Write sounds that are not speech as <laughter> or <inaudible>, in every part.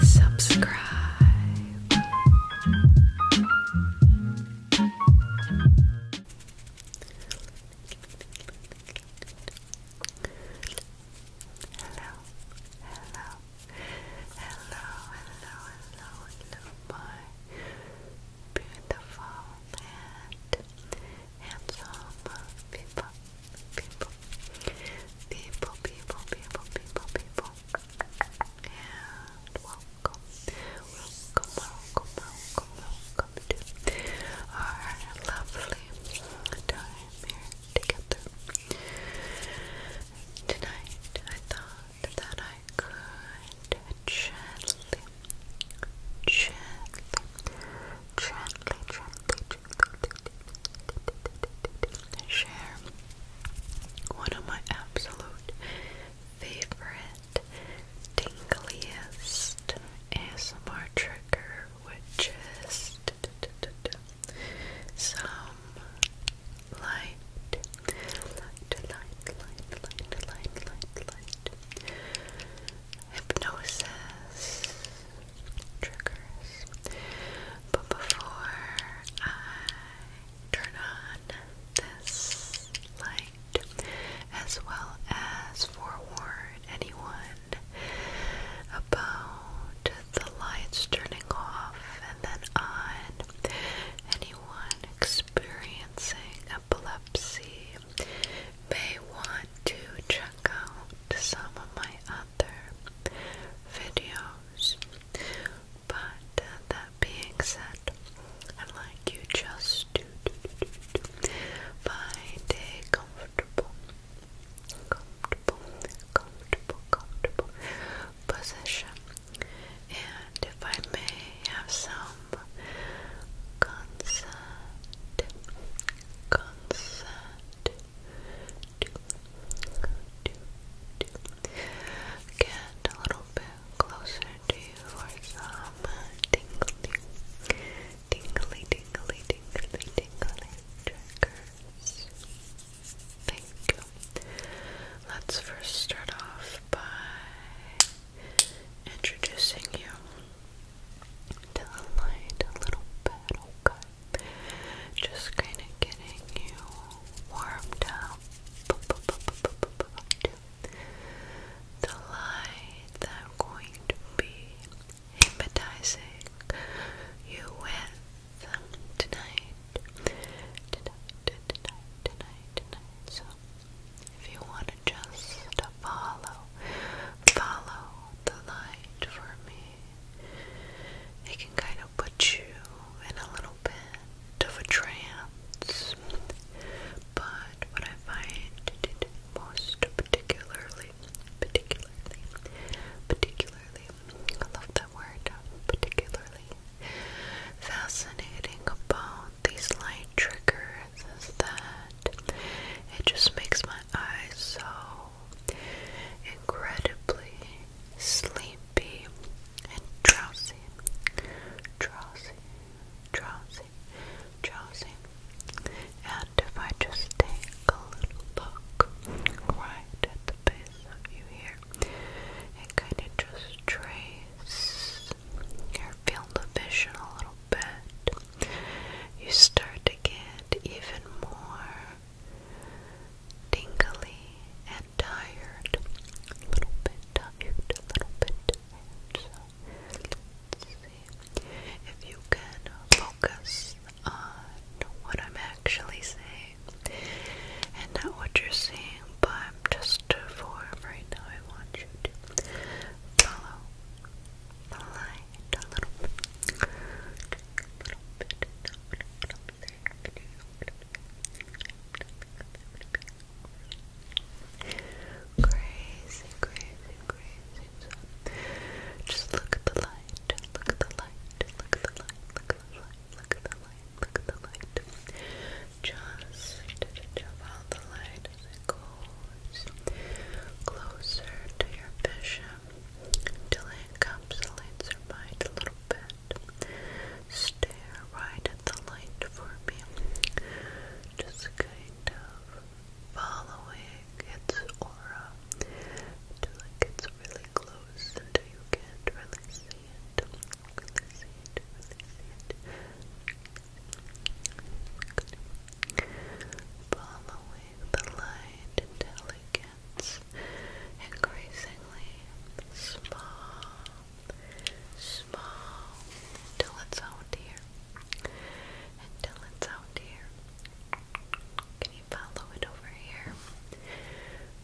Subscribe. Hello, hello, hello, hello, hello, hello, my beautiful land handsome people, people, people, people, people, people, people. And welcome, welcome, welcome, welcome, welcome to our lovely time here together. Tonight I thought that I could gently gently, gently, gently, gently share one of my absolute favorite tingliest ASMR trigger, which is some light, light, light, light, light, light, hypnosis triggers. But before I turn on this light, as well as forewarn anyone about the lights turning off and then on, anyone experiencing epilepsy may want to check out some of my other videos. But uh, that being said, I'd like you just to do, do, do, do, find a comfortable, comfortable, comfortable, comfortable position. And if I may have some concert, concert, Get a little bit closer to you some tingly, tingly, tingly, tingly, tingly triggers. Thank you. Let's first start off by introducing you to the light a little bit, okay? Just kind of getting you warmed up the light I'm going to be hypnotizing you with tonight. So if you want to follow, follow the light for me, it can kind of put you in a little bit of a trance. But what I find most particularly, particularly, particularly, I love that word, particularly fascinating about these light triggers that it just makes my eyes so incredibly sleepy and drowsy, drowsy, drowsy, drowsy. And if I just take a little look right at the base of you here and kind of just trace your field of vision a little bit, you start to get even more tingly and tired. A little bit a little bit if you can focus on what I'm actually saying and not what you're seeing, but just for right now, should follow the line a little bit. A little bit. Crazy, crazy, crazy. just look at the light. Look at the light. Look at the light. Look at the light. Look at the light light, look at the light. Just follow the light as it goes closer to your vision until it encapsulates your mind a little bit. Stare right at the light for me. Just kind of following its aura until it gets really close until you can't really see it. Following the light until increasingly small, small, until it's out here, until it's out here. Can you follow it over here?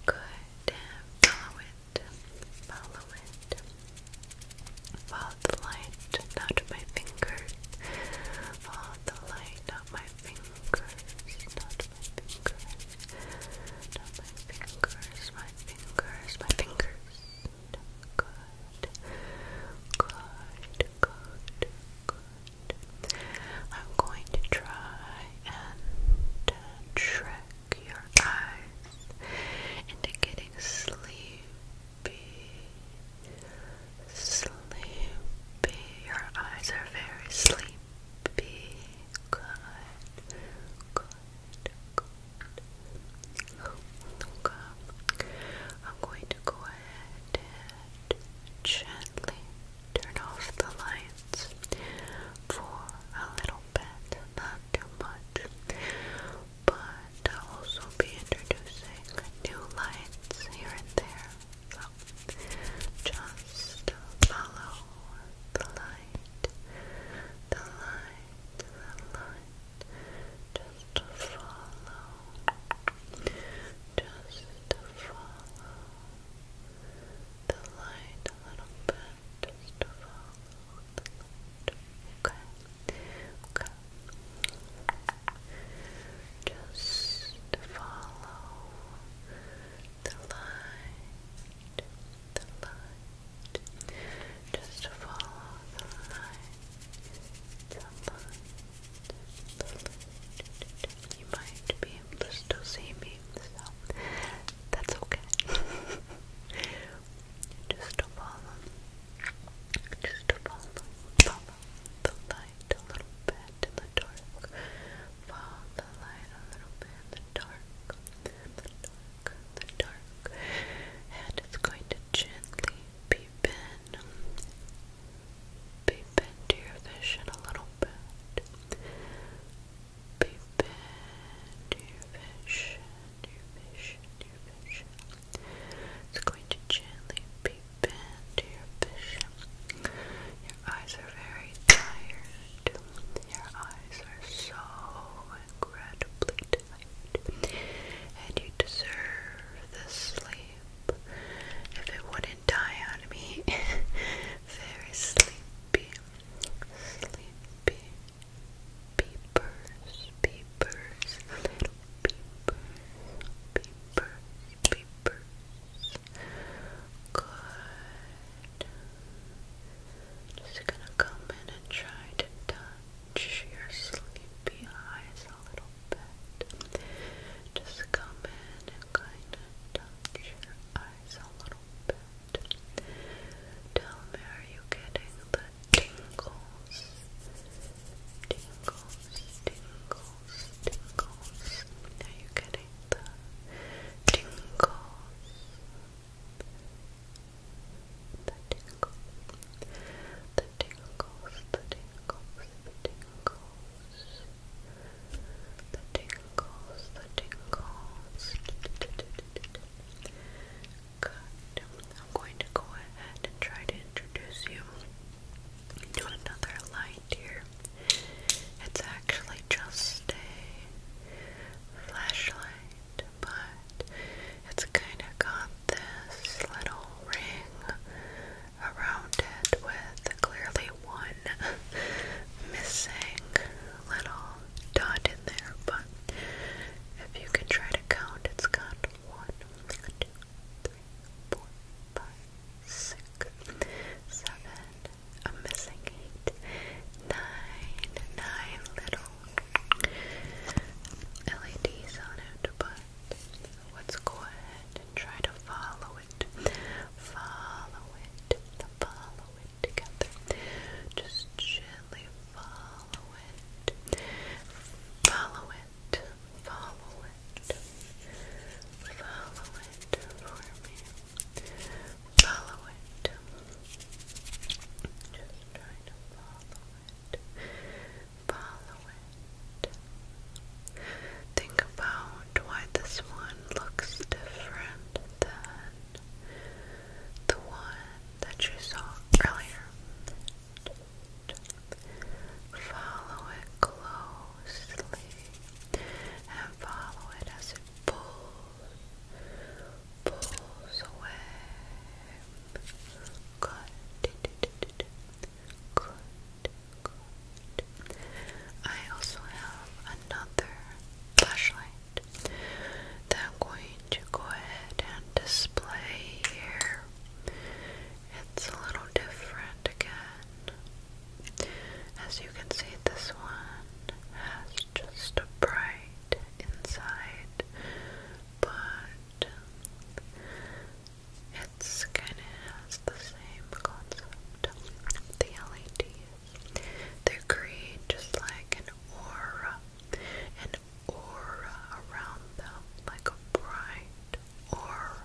Good. Follow it it, follow it. Follow the light, not my fingers. Follow the light, not my fingers, not my fingers. Not my fingers, my fingers, my fingers. Good. Good, good, good. I'm going to try and uh, trick your eyes into getting sleepy. Sleepy. Your eyes are very sleepy. Good. Good. Good. Okay. I'm going to go ahead and gently turn off the light sides for a little bit, not too much. But I'll also be introducing new lights here and there. So just follow the light, the light, the light. Just follow, just follow, the light a little bit just follow the light okay, okay just follow the light the light just follow the light the light the light you might be able to still see me so that's okay. <laughs> just follow, just follow, follow the light a little bit in the dark. Follow the light a little bit in the dark, the dark, the dark, and it's going to gently peep in, your vision a little bit. Be bad to your vision, to your vision, It's going to gently be bent to your vision. Your eyes are very tired. Your eyes are so incredibly tired. And you deserve the sleep. If it wouldn't die on me, <laughs> very sleepy sleepy peepers, peepers, little peepers, peepers, peepers. Good. Just gonna come in and try to touch your sleepy eyes a little bit. Just come in and kind of touch your eyes a little bit. Tell me, are you getting the tingles? Tingles, tingles, tingles. Are you getting the tingles? The tingles, the tingles, the tingles, the tingles the tingles, the tingles. Good. I'm going to go ahead and try to introduce you to another light here. It's actually just a flashlight, but it's kind of got this little ring around it with clearly one missing little dot in there, but if you can try to count, it's got one, two, three, four, five, six, seven, a missing eight, nine, nine little LEDs on it, but let's go ahead and try to follow it Follow it, follow it together. Just gently follow it, follow it, follow it, follow it for me. Follow it. Just try to follow it, follow it. Think about why this one looks different than the one that you saw earlier. Follow it closely and follow it as it pulls, pulls away. Good, I also have another flashlight that I'm going to go ahead and display here. It's a little different again. As you can see, this one has just a bright inside, but it's kind of has the same concept. The LEDs. They create just like an aura, an aura around them, like a bright aura.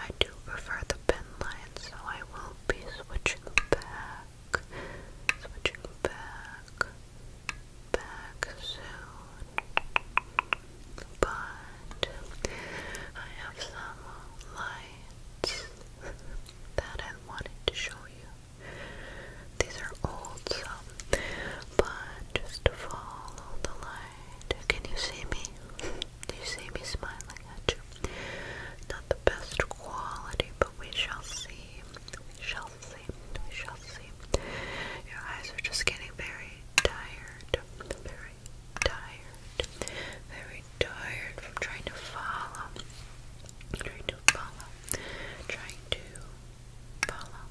I do prefer the pen line, so I will be switching back, switching back, back soon but I have some lights that I wanted to show you. These are old, so but just follow the light. Can you see me? Do you see me smiling at you? Not the best quality, but we shall see. We shall see. We shall see. Your eyes are just getting very tired. Very very tired, very tired from trying to follow, trying to follow, trying to follow,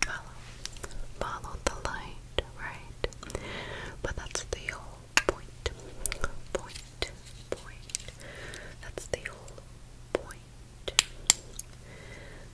follow, follow the light, right? But that's the whole point, point, point. That's the whole point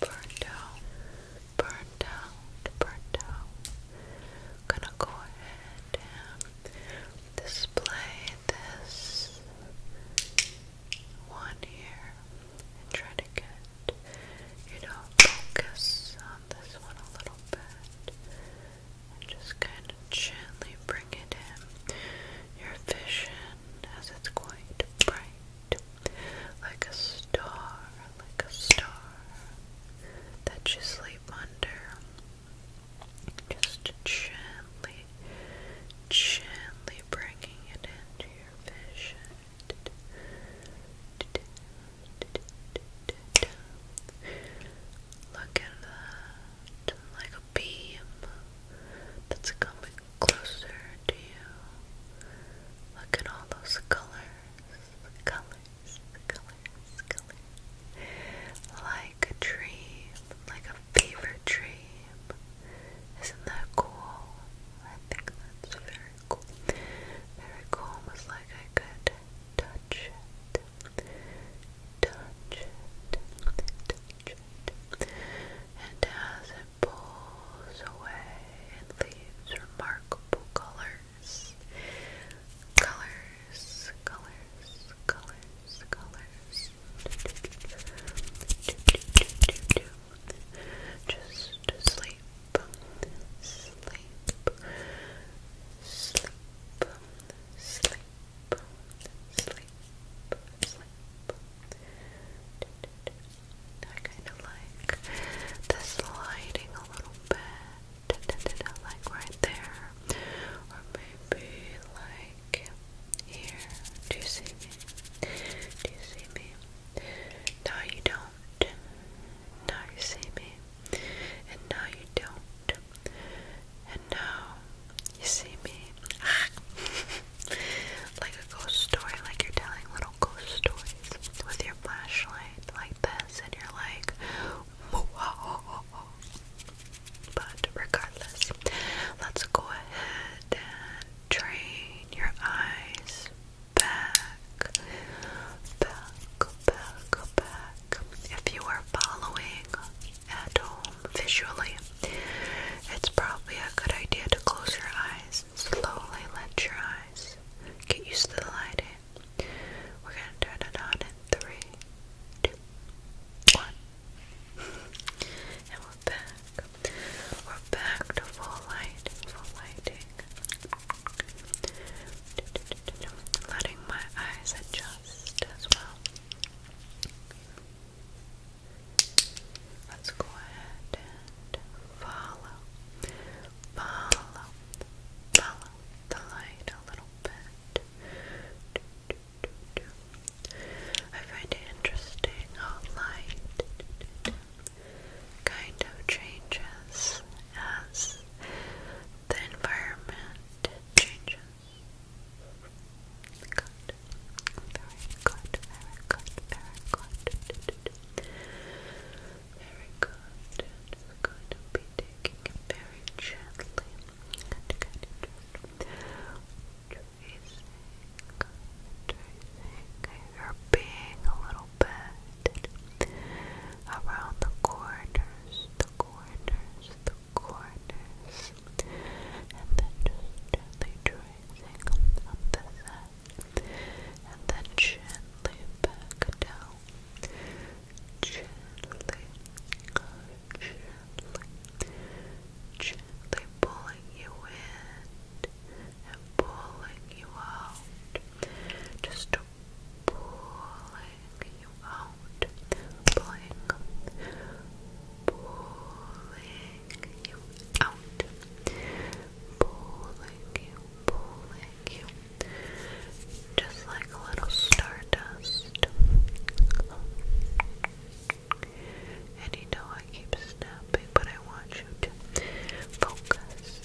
Burned out, burned out, burned out. gonna go ahead and display this one here and try to get, you know, focus on this one a little bit. And just kind of gently bring it in. Your vision as it's quite bright, like a star, like a star that you sleep under. Just gently, gently bringing it into your vision. Look at that like a beam that's coming closer to you. Look at all those colors, colors, colors, colors. Like a dream, like a fever dream. Isn't that cool? I think that's very cool. Very cool, almost like I could touch it. Touch it. Touch it and as it pulls away, it leaves remarkable colors. Colors, colors, colors, colors. Just sleep, sleep, sleep, sleep, sleep, sleep. I kind of like this lighting a little bit, <laughs> like right there, or maybe like here. Do you see me? Do you see me? No, you don't. Now you see me, and now you don't, and now you see me <laughs> like a ghost story, like you're telling little ghost stories with your flashlight like this, and you're like, but regardless, let's go ahead and train your eyes back, back, back, back. If you are following at home visually, it's probably a good idea to close your eyes slowly let your eyes get used to the lighting. We're gonna turn it on in three, two, one. And we're back. We're back to full light, full lighting. Letting my eyes adjust as well. Let's go ahead and follow, follow, follow the light a little bit. I find it interesting how light kind of changes as the environment changes. Good. Very good. Very good. Very good. Very good. And we're taking it very gently and kind of just tracing, tracing being a little bit around the corners, the corners, the corners and then gently tracing up the side, and then gently back down, gently, gently, gently pulling you in and pulling you out, just pulling you out, pulling, pulling you out, pulling you, pulling you, just like a little stardust. And you know I keep snapping, but I want you to focus,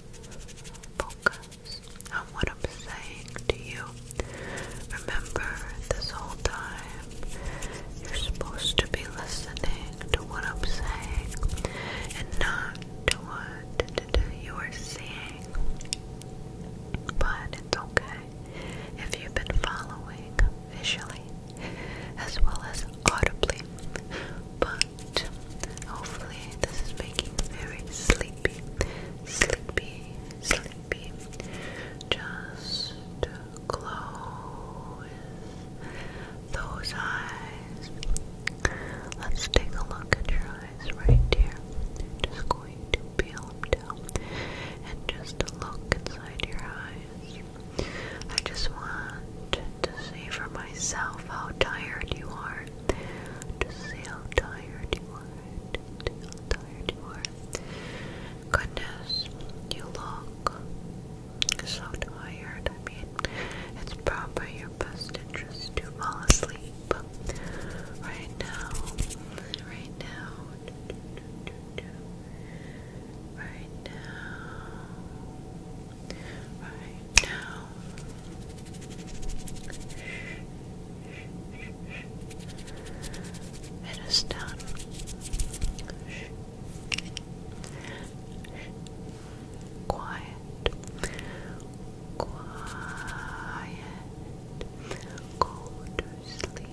focus I'm saying to you. Remember, this whole time, you're supposed to be listening to what I'm saying and not to what you are seeing. But it's okay if you've been following visually as well as audibly. But hopefully, this is making you very sleepy, sleepy, sleepy. Just close those eyes. Let's take a look at your eyes right here. Just going to peel them down and just look inside your eyes. I just want to see for myself how tired you are. To see how tired you are. To see how tired you are. Goodness, you look so tired. I mean, it's probably your best interest to fall asleep right now. Right now. Right now. Right now. It is done. Quiet. Quiet. Go to sleep.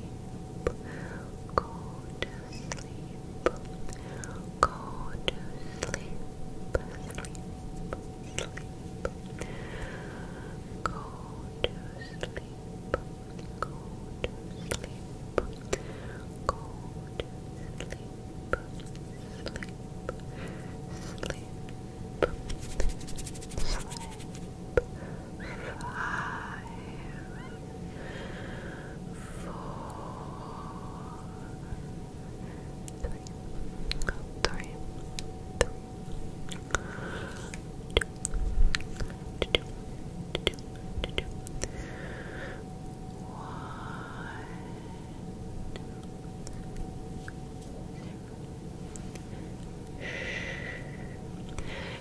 Go to sleep. Go to sleep. Sleep sleep. Go to sleep. Go to sleep. Go to sleep. Sleep. Sleep. Five. Four. Three.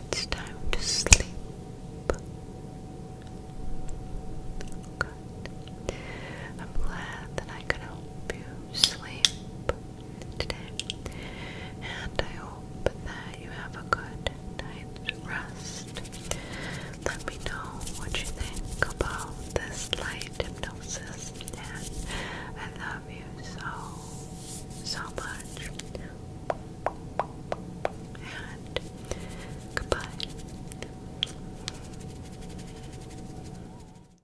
It's time to sleep. I'm glad that I could help you sleep today. And I hope that you have a good night's rest. Let me know what you think about this light hypnosis. And I love you so, so much. And goodbye.